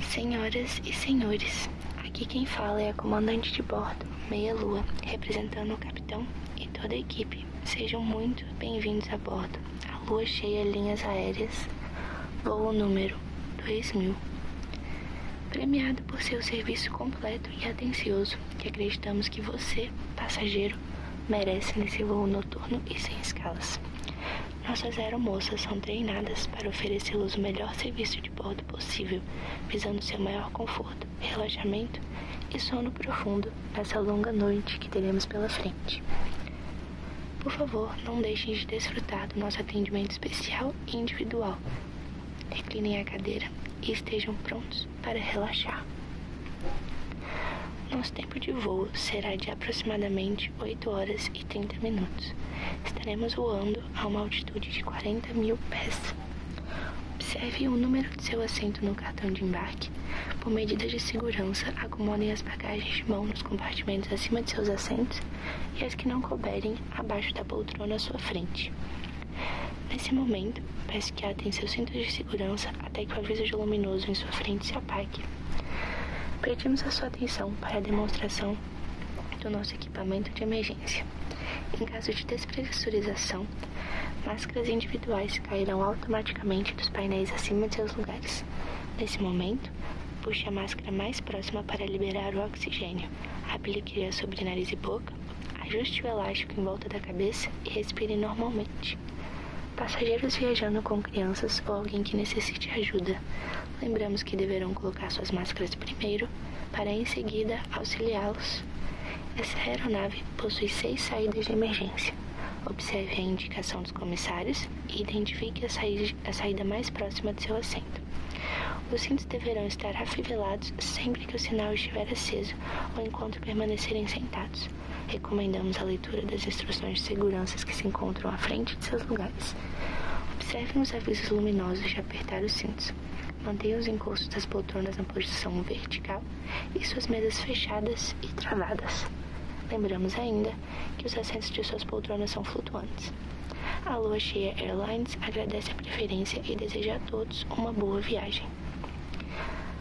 Senhoras e senhores, aqui quem fala é a comandante de bordo, Meia Lua, representando o capitão e toda a equipe. Sejam muito bem-vindos a bordo. A lua cheia linhas aéreas, voo número 2000. Premiado por seu serviço completo e atencioso, acreditamos que você, passageiro, merece nesse voo noturno e sem escalas. Nossas aeromoças são treinadas para oferecê-los o melhor serviço de bordo possível, visando seu maior conforto, relaxamento e sono profundo nessa longa noite que teremos pela frente. Por favor, não deixem de desfrutar do nosso atendimento especial e individual. Reclinem a cadeira e estejam prontos para relaxar. Nosso tempo de voo será de aproximadamente hoje, 8 horas e 30 minutos. Estaremos voando a uma altitude de 40 mil pés. Observe o número de seu assento no cartão de embarque. Por medidas de segurança, acomodem as bagagens de mão nos compartimentos acima de seus assentos e as que não couberem abaixo da poltrona à sua frente. Nesse momento, peço que atem seus cintos de segurança até que o aviso luminoso em sua frente se apague. Pedimos a sua atenção para a demonstração do nosso equipamento de emergência. Em caso de despressurização, máscaras individuais cairão automaticamente dos painéis acima de seus lugares. Nesse momento, puxe a máscara mais próxima para liberar o oxigênio. Aplique-a sobre nariz e boca, ajuste o elástico em volta da cabeça e respire normalmente. Passageiros viajando com crianças ou alguém que necessite ajuda Lembramos que deverão colocar suas máscaras primeiro, para em seguida auxiliá-los. Essa aeronave possui seis saídas de emergência. Observe a indicação dos comissários e identifique a, saí a saída mais próxima de seu assento. Os cintos deverão estar afivelados sempre que o sinal estiver aceso ou enquanto permanecerem sentados. Recomendamos a leitura das instruções de segurança que se encontram à frente diante de seus lugares. Observem os avisos luminosos de apertar os cintos. Mantenha os encostos das poltronas na posição vertical e suas mesas fechadas e travadas. Lembramos ainda que os assentos de suas poltronas são flutuantes. A Lua Cheia Airlines agradece a preferência e deseja a todos uma boa viagem.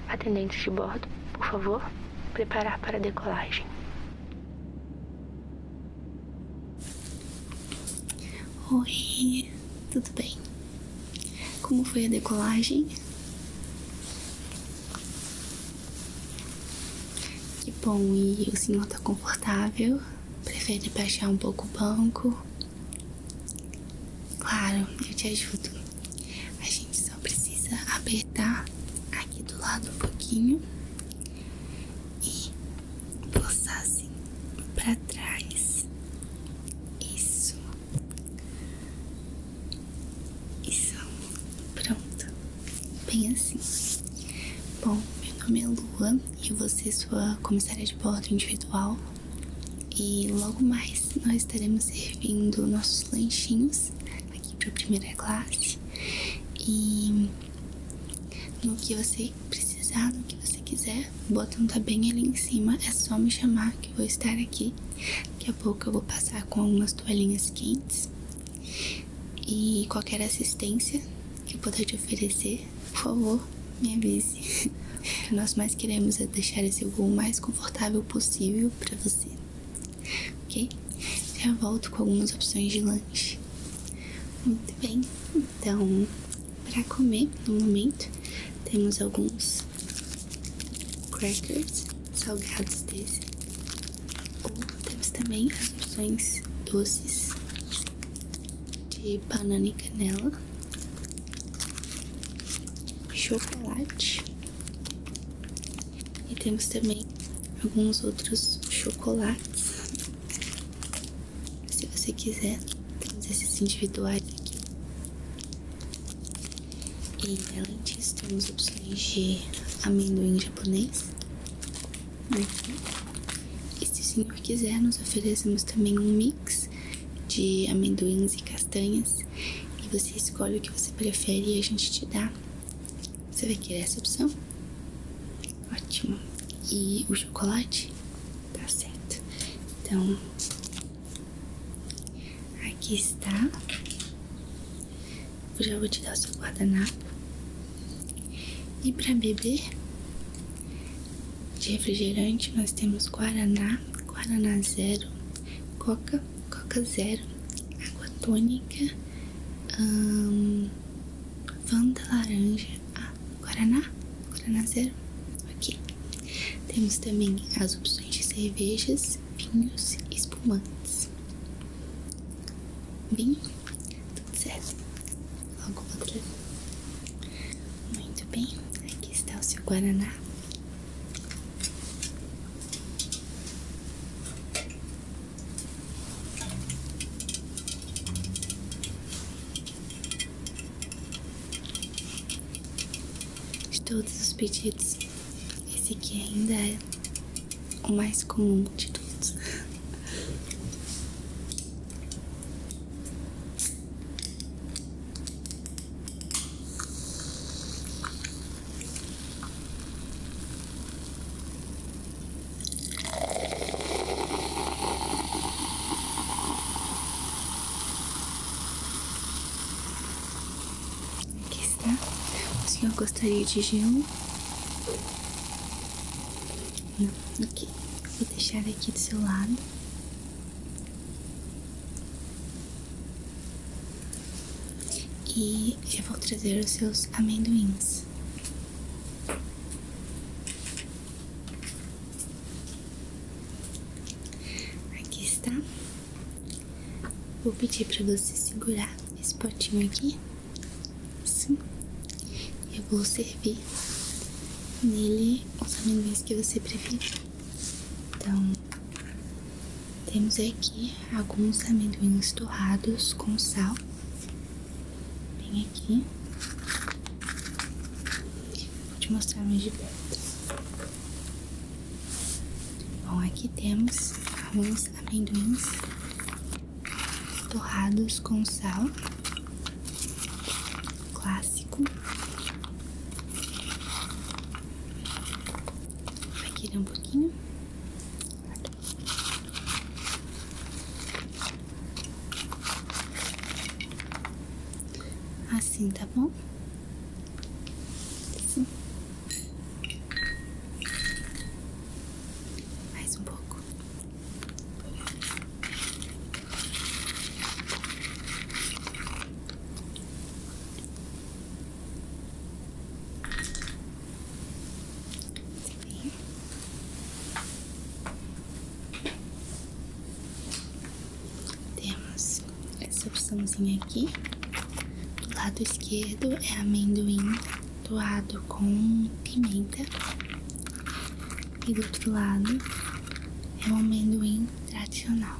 Atendentes de bordo, por favor, preparar para a decolagem. Oi, tudo bem? Como foi a decolagem? Que bom, e o senhor tá confortável? Prefere baixar um pouco o banco? Claro, eu te ajudo. A gente só precisa apertar aqui do lado um pouquinho e forçassem para trás. Isso. Isso. Pronto. Bem assim. Bom, meu nome é Lua e você vou é sua comissária de bordo individual. E logo mais nós estaremos servindo nossos lanchinhos aqui para a primeira classe. E no que você precisar, no que você quiser. O botão tá bem ali em cima, é só me chamar que eu vou estar aqui. Daqui a pouco eu vou passar com algumas toalhinhas quentes. E qualquer assistência que eu puder te oferecer, por favor, me avise. nós mais queremos é deixar esse voo o mais confortável possível para você. Ok? Já volto com algumas opções de lanche. Muito bem, então, para comer no momento, temos alguns crackers salgados desse, temos também opções doces de banana e canela, chocolate e temos também alguns outros chocolates. Se você quiser, temos esses individuais aqui. E além disso, temos opções de amendoim japonês. E se o senhor quiser, nós oferecemos também um mix de amendoins e castanhas. E você escolhe o que você prefere e a gente te dá você vai querer essa opção? Ótimo. E o chocolate? Tá certo. Então, aqui está. Eu já vou te dar o seu guardanapo. E para beber de refrigerante, nós temos Guaraná, Guaraná Zero, Coca, Coca Zero, Água Tônica, Fanta laranja. Ah, Guaraná? Guaraná zero? Ok. Temos também as opções de cervejas, vinhos e espumantes. Vinho? Tudo certo. Logo outra. Muito bem. Aqui está o seu Guaraná. De todos os pedidos, esse aqui ainda é o mais comum de todos. Aqui está. O senhor gostaria de gelo? Não, hum, ok. Vou deixar aqui do seu lado. E já vou trazer os seus amendoins. Aqui está. Vou pedir para você segurar esse potinho aqui. Assim. Eu vou servir nele os amendoins que você preferir. Então, temos aqui alguns amendoins torrados com sal bem aqui. Vou te mostrar mais de perto. Bom, aqui temos alguns amendoins torrados com sal clássico. Vai querer um pouquinho? Assim, tá bom? Mais um pouco. Temos essa opçãozinha aqui. Do lado esquerdo é amendoim doado com pimenta. E do outro lado é um amendoim tradicional.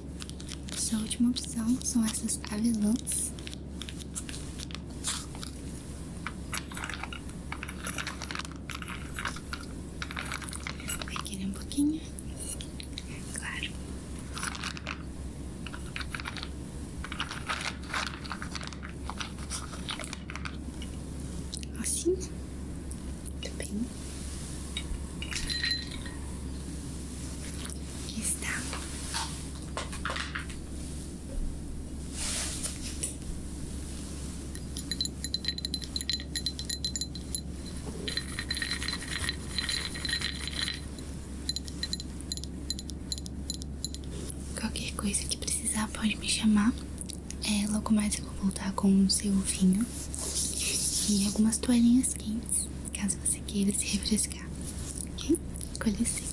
Sua é última opção são essas avelãs. Vai querer um pouquinho? Claro. Assim? Muito tá bem. Está Qualquer coisa que precisar pode me chamar. É, logo mais eu vou voltar com o seu vinho e algumas toalhinhas quentes caso você queira se refrescar, ok? Com licença.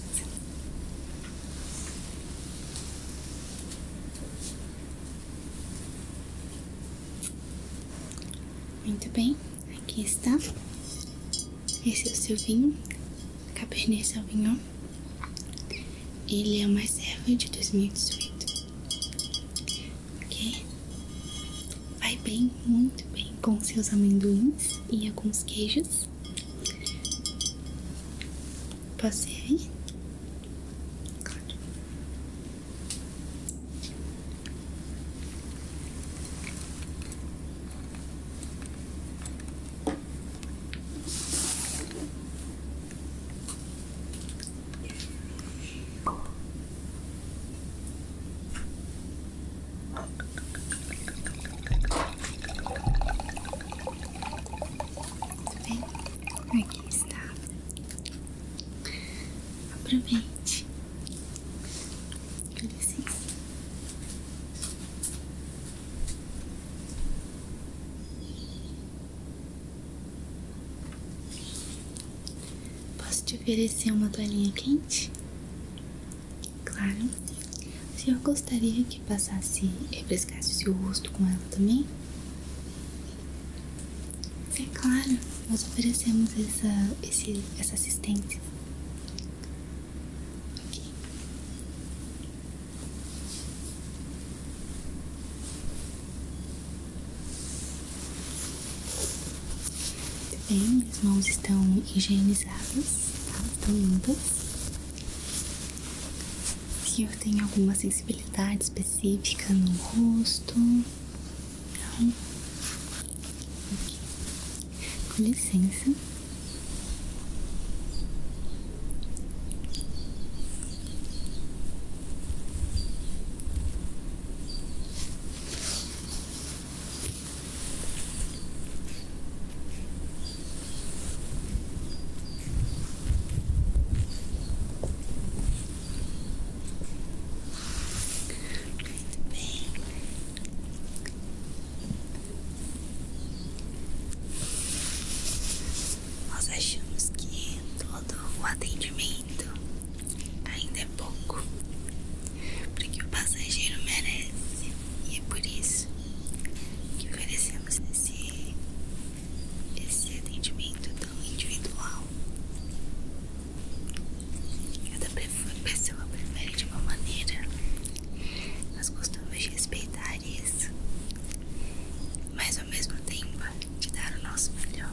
Muito bem, aqui está. Esse é o seu vinho, Cabernet Sauvignon. Ele é uma serva de 2018 ok? Vai bem, muito bem com seus amendoins e alguns queijos. passei tudo bem? Aqui é está. Aproveite. Com licença. Posso te oferecer uma toalhinha quente? Claro. O senhor gostaria que passasse e refrescasse o seu rosto com ela também? É claro, nós oferecemos essa, esse, essa assistência. Bem, as mãos estão higienizadas, tá? estão limpas. Se eu tenho alguma sensibilidade específica no rosto? Não? Okay. Com licença. Bem, nós achamos que todo o atendimento ainda é pouco porque o passageiro merece e é por isso que oferecemos esse, esse atendimento tão individual. Cada pessoa prefere de uma maneira, nós gostamos de respeitar isso, mas ao mesmo tempo de dar o nosso melhor.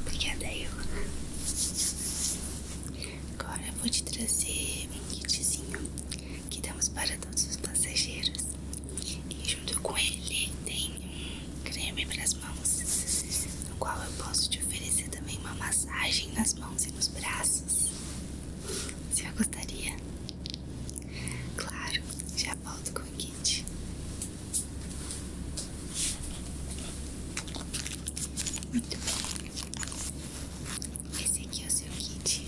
Obrigada, Eva. Agora eu vou te trazer um kitzinho que damos para todos os passageiros. E junto com ele tem creme para as mãos, no qual eu posso te oferecer também uma massagem nas mãos e nos braços. Você gostaria? Claro, já já volto com o kit. Muito bem. Esse aqui é o seu kit.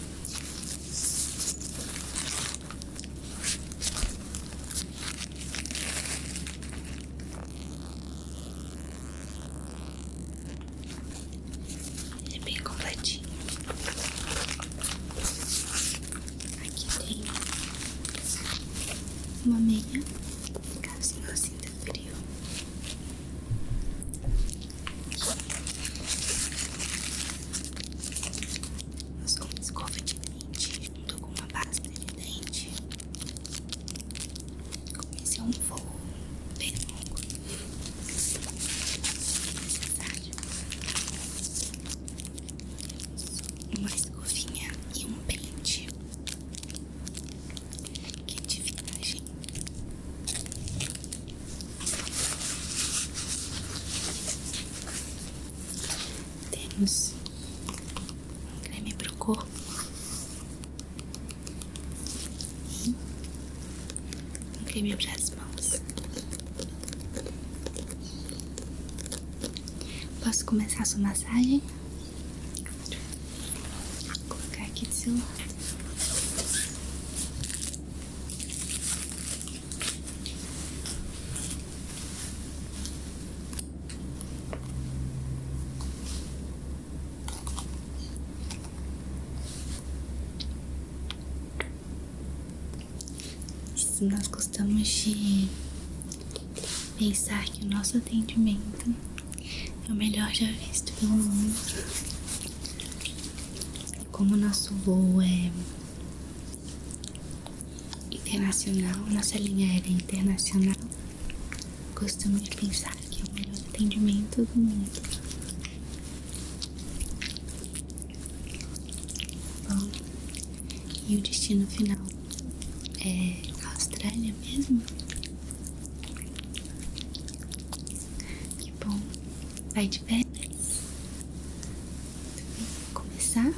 Ele é bem completinho. Aqui tem uma meia, caso não sinta frio. Eu sou uma escova de dente junto com uma base de dente. Comecei é um voo bem longo. É necessário. Isso uma escovinha e um pente. Que divinagem! Temos um creme o corpo e um creme para as mãos. Posso começar sua massagem? Vou colocar aqui do seu lado. Isso nós gostamos de Pensar que o nosso atendimento é o melhor já visto pelo mundo. Como nosso voo é internacional, nossa linha era é internacional, costumo de pensar que é o melhor atendimento do mundo. Bom, e o destino final é a Austrália mesmo? Que bom! Vai de férias? Vou começar?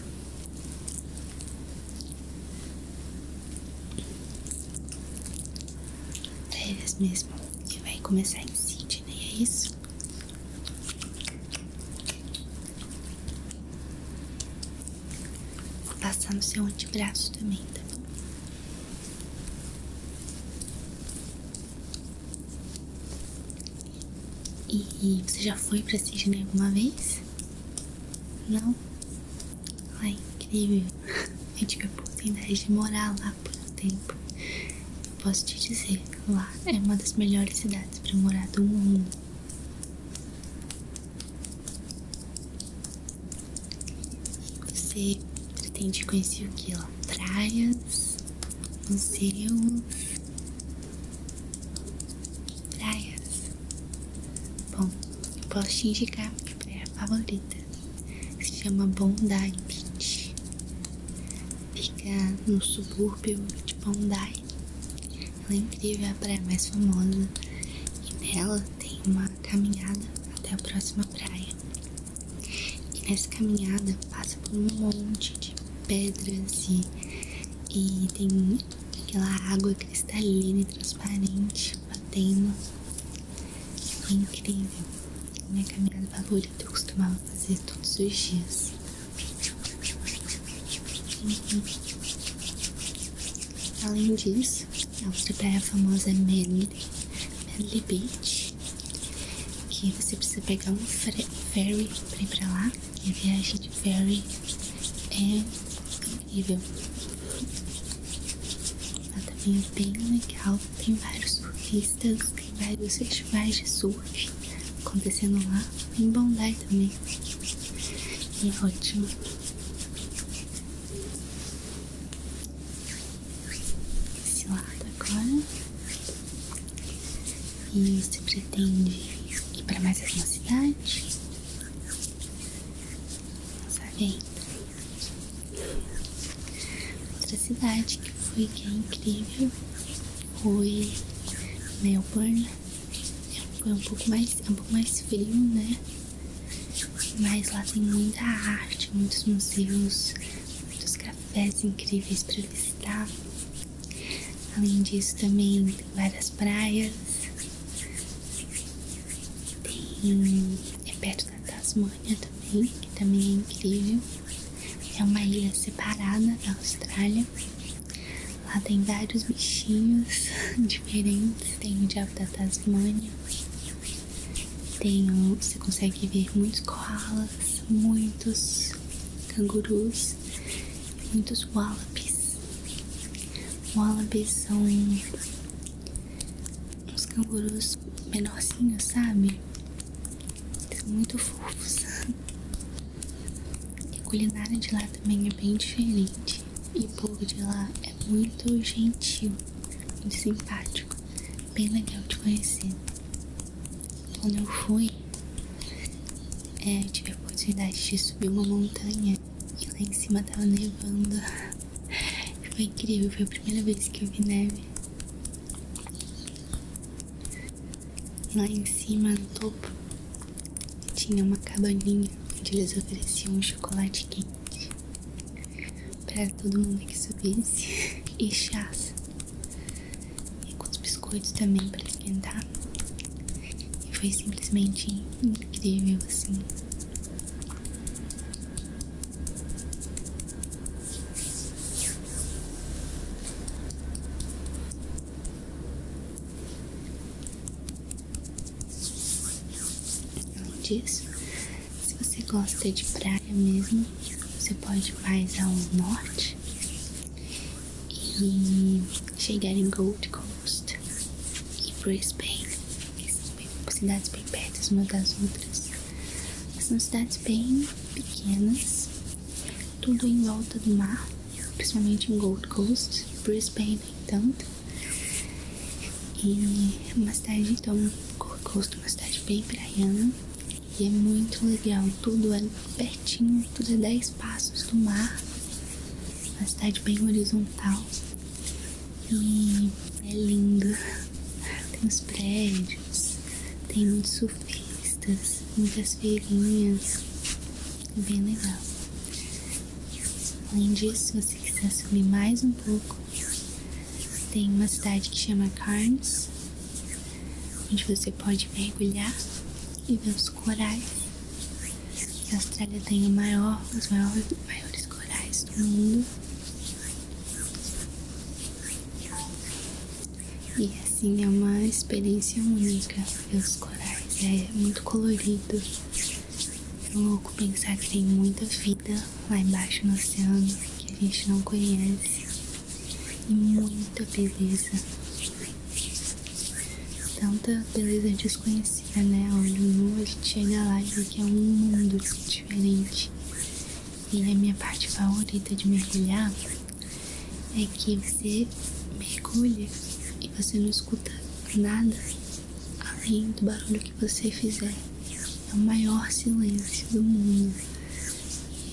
Férias mesmo, que vai começar em Sydney, é isso? Vou passar no seu antebraço também, tá bom? E você já foi pra Sydney alguma vez? Não? Ai, incrível. Eu tive a oportunidade de morar lá por um tempo. posso te dizer, lá é uma das melhores cidades para morar do mundo. Você pretende conhecer o que lá? Praias, museus, praias. Bom, eu posso te indicar a praia favorita. Se chama Bondi Beach. Fica no subúrbio de Bondi. Ela é incrível, é a praia mais famosa e nela tem uma caminhada até a próxima praia. E nessa caminhada passa por um monte de pedras e, e tem aquela água cristalina e transparente batendo. É incrível. Minha caminhada favorita eu costumava fazer todos os dias. Além disso, a outra praia famosa é Manly, Manly Beach, que você precisa pegar um ferry pra ir pra lá. E a viagem de ferry é incrível. Ela também é bem legal, tem vários surfistas, tem vários festivais de surf acontecendo lá em Bondi também. E é ótimo. Esse lado agora. E você pretende ir para mais alguma cidade? Não sabe ainda. Outra cidade que foi que é incrível foi Melbourne foi é um pouco mais, é um pouco mais frio, né? Mas lá tem muita arte, muitos museus, muitos cafés incríveis para visitar. Além disso, também tem várias praias. Tem. é perto da Tasmânia também, que também é incrível. É uma ilha separada da Austrália. Lá tem vários bichinhos diferentes. Tem o diabo da Tasmânia. Tem você consegue ver muitos koalas, muitos cangurus, muitos wallabies. Wallabies são uns cangurus menorzinhos, sabe? São muito fofos. E a culinária de lá também é bem diferente. E o povo de lá é muito gentil, muito simpático. Bem legal de conhecer. Quando eu fui, é, eu tive a oportunidade de subir uma montanha e lá em cima tava nevando. Foi incrível, foi a primeira vez que eu vi neve. Lá em cima, no topo, tinha uma cabaninha onde eles ofereciam um chocolate quente para todo mundo que subisse e chás e com os biscoitos também para esquentar. E foi simplesmente incrível assim. Além disso, se você gosta de praia mesmo, você pode mais ao norte e chegar em Gold Coast e Brisbane. Cidades bem perto umas das outras. São cidades bem pequenas, tudo em volta do mar, principalmente em Gold Coast, Brisbane, tanto. E é uma cidade, então, Gold Coast, uma cidade bem praiana. E é muito legal, tudo é pertinho, tudo é 10 passos do mar. Uma cidade bem horizontal. E é linda. Tem os prédios, tem muitos surfistas, muitas feirinhas. Bem legal. Além disso, se você quiser subir mais um pouco, tem uma cidade que chama Carnes, onde você pode mergulhar e ver os corais. A Austrália tem os maiores corais do mundo. E assim é uma experiência única meus corais, é muito colorido. É louco pensar que tem muita vida lá embaixo no oceano que a gente não conhece e muita beleza. Tanta beleza desconhecida, né? Olho nu, a gente chega lá e vê que é um mundo diferente. E a é minha parte favorita de mergulhar é que você mergulha e você não escuta nada além do barulho que você fizer. É o maior silêncio do mundo.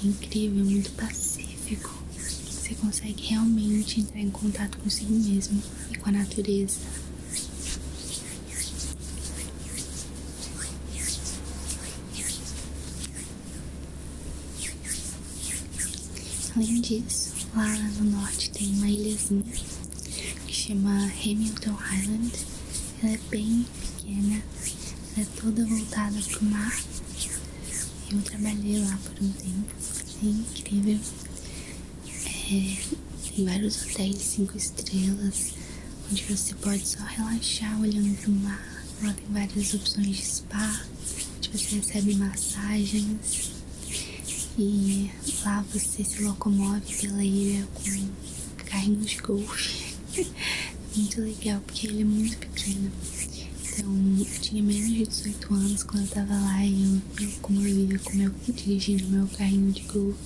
É incrível, muito pacífico. Você consegue realmente entrar em contato consigo mesmo e com a natureza. Além disso, lá no norte tem uma ilhazinha que chama Hamilton Island. Ela é bem pequena, ela é toda voltada para o mar. Eu trabalhei lá por um tempo, é incrível. É, tem vários hotéis de 5 estrelas, onde você pode só relaxar olhando para o mar. Lá tem várias opções de spa, onde você recebe massagens. E lá você se locomove pela ilha com carrinho de golfe. muito legal, porque ele é muito pequeno. Então, eu tinha menos de 18 anos quando eu tava lá e eu, eu convivia com meu dirigindo meu carrinho de golfe.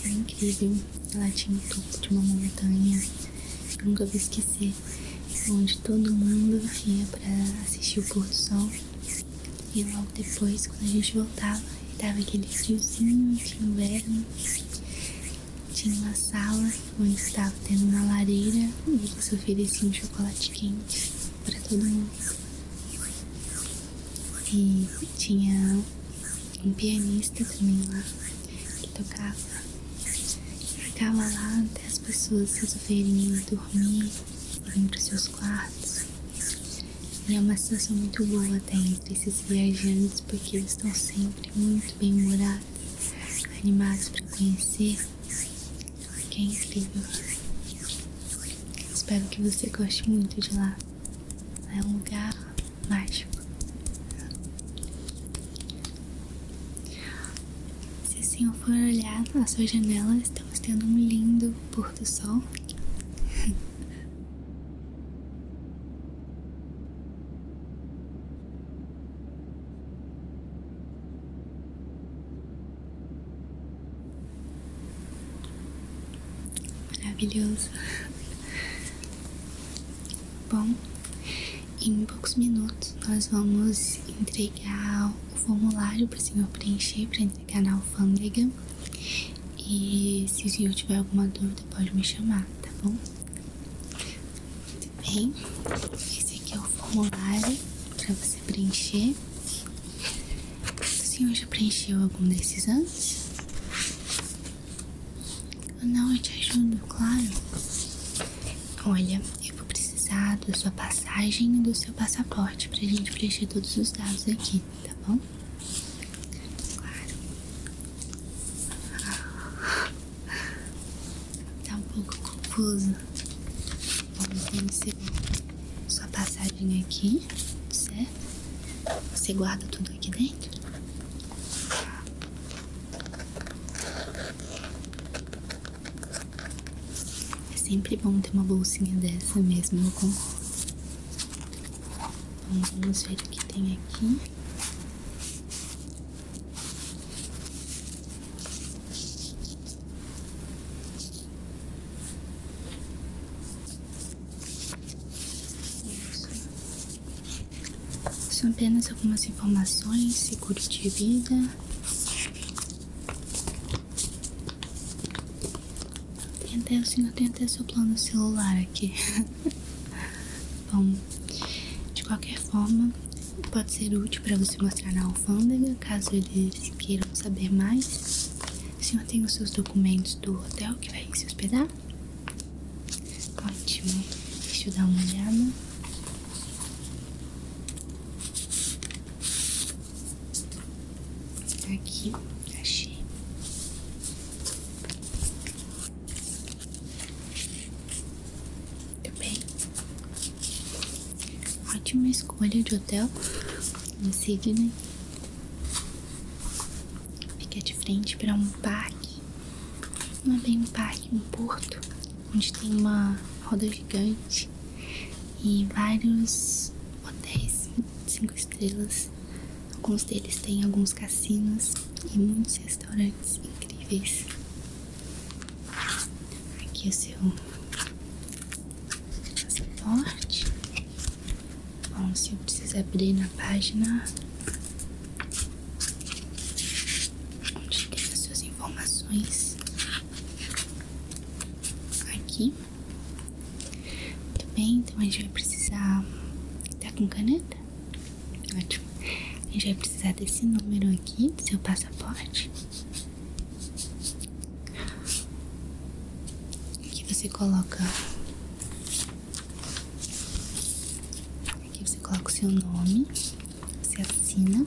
Foi incrível. Lá tinha o topo de uma montanha. Eu nunca vou esquecer onde todo mundo vinha para assistir o pôr do sol e logo depois quando a gente voltava tava aquele friozinho de inverno tinha uma sala onde estava tendo uma lareira e eles ofereciam um chocolate quente para todo mundo e tinha um pianista também lá que tocava ficava lá até as pessoas se resolverem dormir, vem para seus quartos. E é uma situação muito boa até entre esses viajantes, porque eles estão sempre muito bem morados, animados para conhecer, que é incrível. Espero que você goste muito de lá. É um lugar mágico. Se o senhor for olhar na sua janela, estamos tendo um lindo pôr do sol. Maravilhoso. Bom, em poucos minutos nós vamos entregar pegar o formulário para o senhor preencher para entregar na alfândega. E se o senhor tiver alguma dúvida, pode me chamar, tá bom? Muito bem, esse aqui é o formulário para você preencher. O senhor já preencheu algum desses antes? Não, eu te ajudo, claro. Olha, eu vou precisar da sua passagem e do seu passaporte para a gente preencher todos os dados aqui, tá bom? Claro. Tá um pouco confuso. Vamos ver se sua passagem aqui, certo? Você guarda tudo aqui dentro? É sempre bom ter uma bolsinha dessa mesmo, eu concordo. Então, vamos ver o que tem aqui. São apenas algumas informações, seguro de vida, tem o senhor tem até seu plano celular aqui. Bom, de qualquer forma, pode ser útil para você mostrar na alfândega, caso eles queiram saber mais. O senhor tem os seus documentos do hotel que vai se hospedar? Ótimo. Deixa eu dar uma olhada. Aqui, achei. Muito bem. Ótima escolha de hotel em Sydney. Fica de frente para um parque. Não é um parque, um porto onde tem uma roda gigante e vários hotéis cinco estrelas. Alguns deles têm alguns cassinos e muitos restaurantes incríveis. Aqui é o seu passaporte. Bom, se eu precisar abrir na página onde tem as suas informações, Aqui. Muito bem, então a gente vai precisar. Tá com caneta? Ótimo. A gente vai precisar desse número aqui do seu passaporte. Aqui você coloca. Aqui você coloca o seu nome. Você assina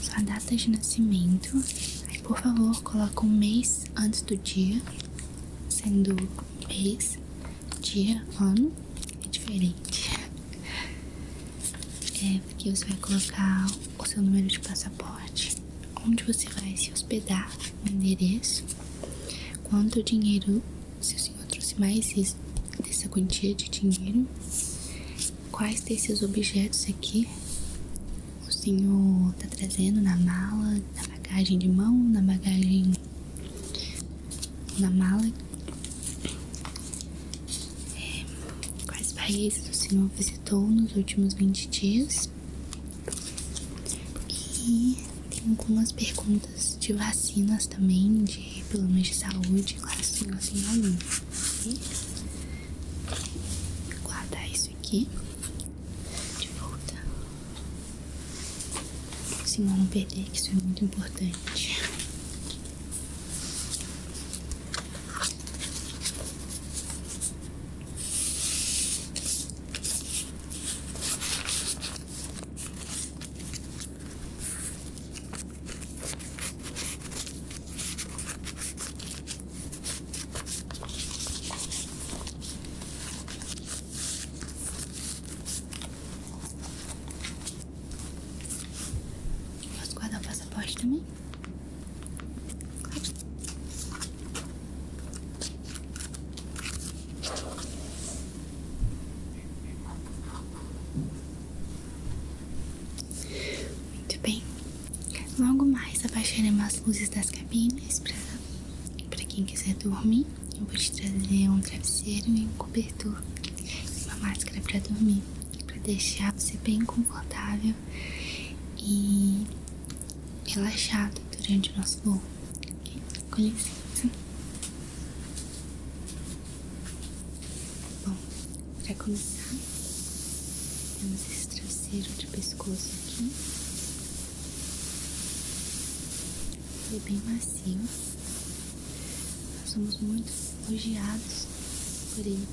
sua data de nascimento. Aí, por favor, coloque um mês antes do dia, sendo mês, dia, ano é diferente. É porque você vai colocar o seu número de passaporte, onde você vai se hospedar, o endereço, quanto dinheiro, se o senhor trouxe mais dessa quantia de dinheiro quais desses objetos aqui o senhor está trazendo na mala, na bagagem de mão, na bagagem na mala? É, quais países o senhor visitou nos últimos 20 dias? E tem algumas perguntas de vacinas também, de problemas de saúde, claro, senhor, senhor, aluno. E guardar isso aqui de volta. Senão não perder, que isso é muito importante. Posso guardar o passaporte também? Muito bem. Logo mais abaixaremos as luzes das cabines para quem quiser dormir. Eu vou te trazer um travesseiro e um cobertor e uma máscara para dormir, para deixar você bem confortável e relaxado durante o nosso voo. Okay? Com licença. Bom, para começar, temos esse traseiro de pescoço aqui. Ele é bem macio. Nós somos muito elogiados por ele.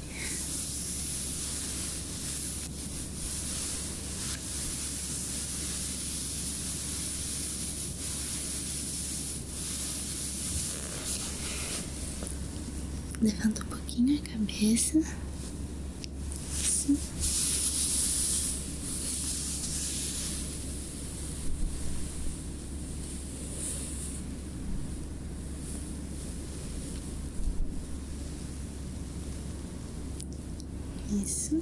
Levanta um pouquinho a cabeça. Assim. Isso.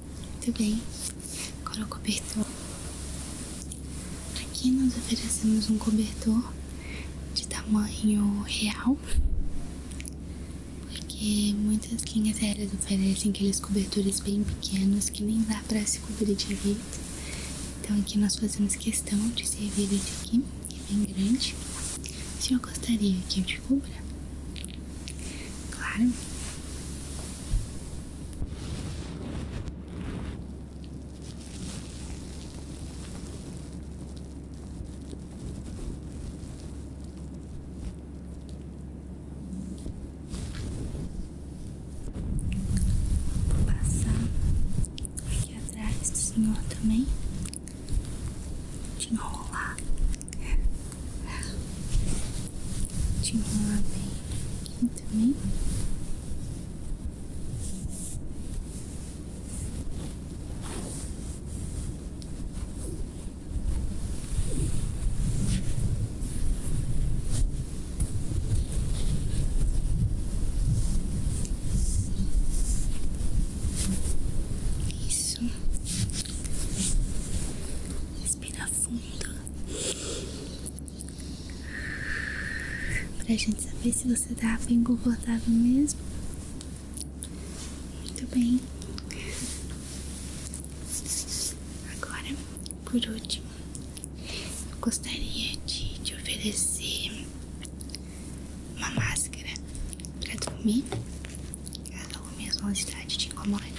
Muito bem, agora o cobertor. Aqui nós oferecemos um cobertor de tamanho real, porque muitas linhas aéreas oferecem aqueles cobertores bem pequenos que nem dá para se cobrir de direito. Então aqui nós fazemos questão de servir esse aqui, que é bem grande. O senhor gostaria que eu te cubra? Claro. Vou passar aqui atrás do senhor também. Te enrolar. Te enrolar bem. Isso. Respira fundo. Pra gente saber se você tá bem confortável mesmo. Muito bem. Agora, por último, eu gostaria de te oferecer uma máscara pra dormir. Ela mesmo cidade de incomodante.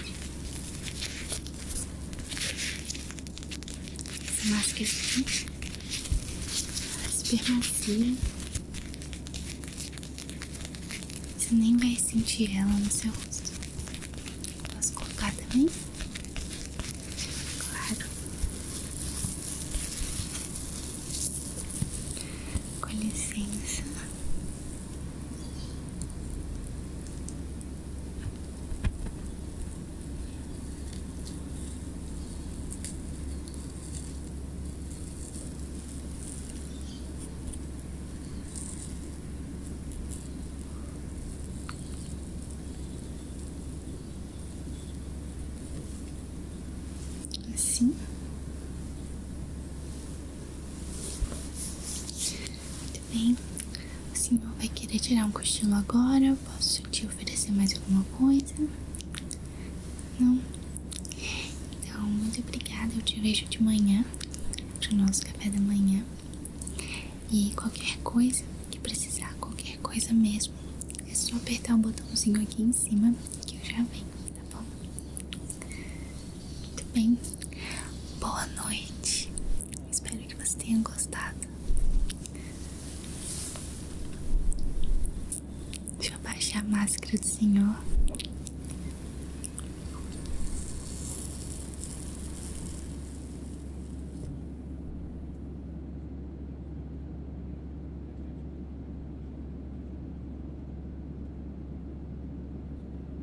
Essa máscara super macia. Você nem vai sentir ela no seu rosto. Posso colocar também? Claro. Com licença assim bem. O senhor vai querer tirar um cochilo agora? Posso te oferecer mais alguma coisa? Não? Então, muito obrigada. Eu te vejo de manhã para nosso café da manhã. E qualquer coisa que precisar, qualquer coisa mesmo, é só apertar o botãozinho aqui em cima que eu já venho, tá bom? Muito bem. Boa noite. Espero que você tenha gostado. Deixa eu baixar a máscara do senhor.